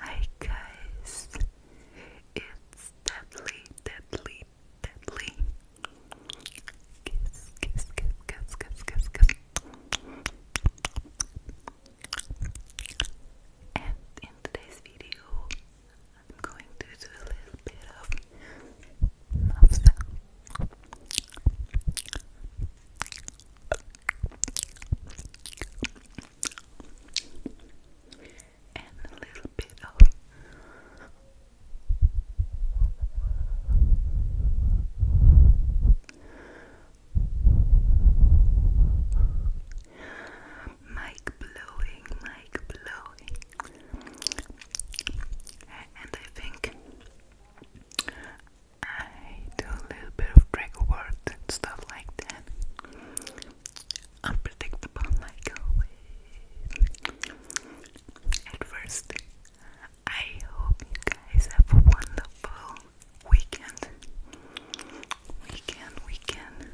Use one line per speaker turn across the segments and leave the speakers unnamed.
Hi guys, it's Deadly, Deadly, Deadly. Kiss, kiss, kiss, kiss, kiss, kiss, kiss. And in today's video, I'm going to do a little bit of mouth sound and a little bit of mic blowing, mic blowing, and I think I do a little bit of trigger words stuff like that. Unpredictable, like always. At first, I hope you guys have a wonderful weekend. Weekend, weekend.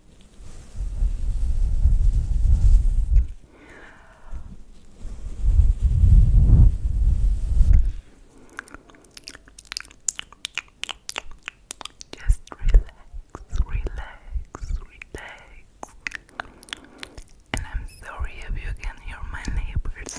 Just relax, relax, relax. And I'm sorry if you can hear my neighbors.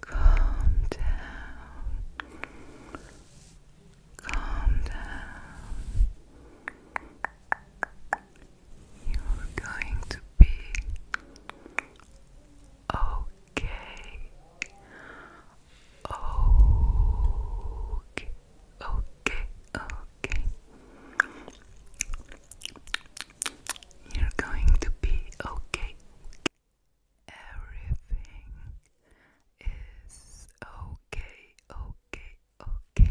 Calm down. Calm down. You're going to be okay. Okay, okay, okay. You're going to be okay. Everything is okay, okay, okay.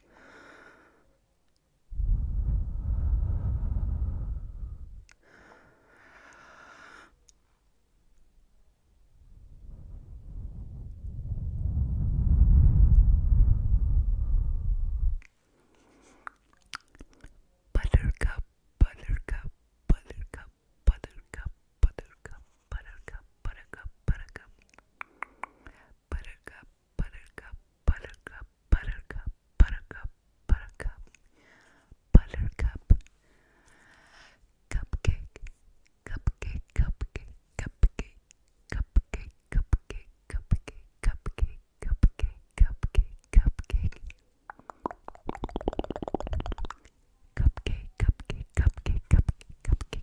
Buttercup, buttercup, buttercup, buttercup, buttercup, buttercup, buttercup, buttercup, buttercup, buttercup, buttercup, buttercup, buttercup, buttercup, buttercup, cupcake, cupcake, cupcake, cupcake, cupcake, cupcake, cupcake, cupcake, cupcake, cupcake, cupcake. Cupcake, cupcake, cupcake, cupcake, cupcake,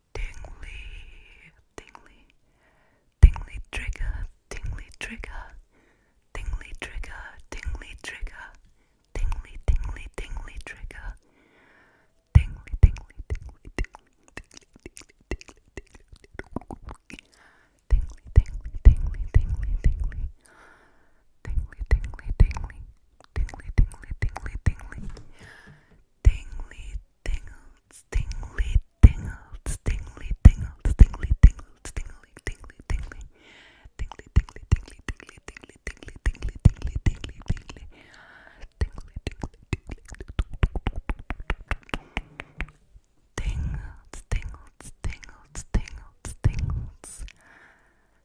Dingly, tingly, tingly trigger, tingly trigger, tingly trigger, tingly trigger, tingly, tingly, tingly trigger, tingly, tingly, tingly, tingly, tingly, tingly, tingly, tingly, tingly, tingly, tingly. Tingly, tingly, tingly, tingly, tingly, tingly, tingly, tingly tingles, tingly tingles, tingly tingles, tingly tingles, tingly tingly tingly, tingly tingly tingly tingly tingly tingly tingly tingly tingly tingly, tingly tingly tingly, tingles, tingles, tingles, tingles, tingles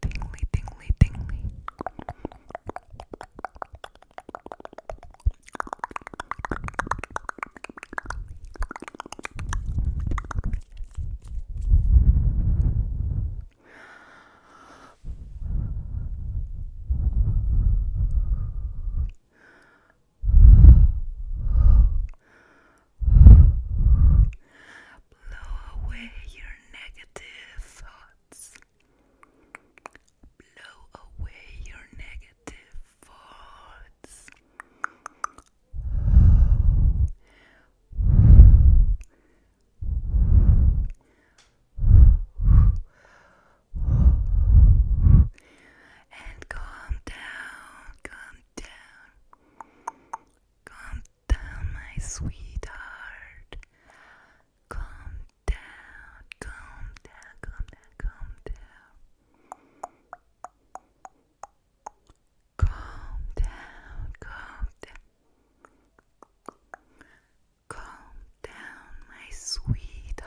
tingly, tingly, tingly. Blow away your negative thoughts. Blow away your negative thoughts. And calm down, calm down, calm down, my sweetheart. calm down, calm down, calm down. Calm down, calm down. Calm down, my sweetheart.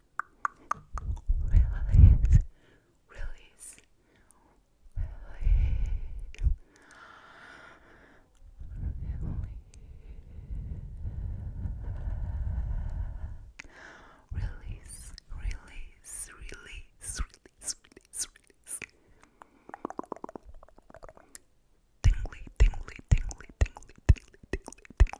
Release. Release. Release. Release. Release. Release. Release. Release. Release. Release. Tingly, tingly, tingly, tingly, tingly, tingly, tingly,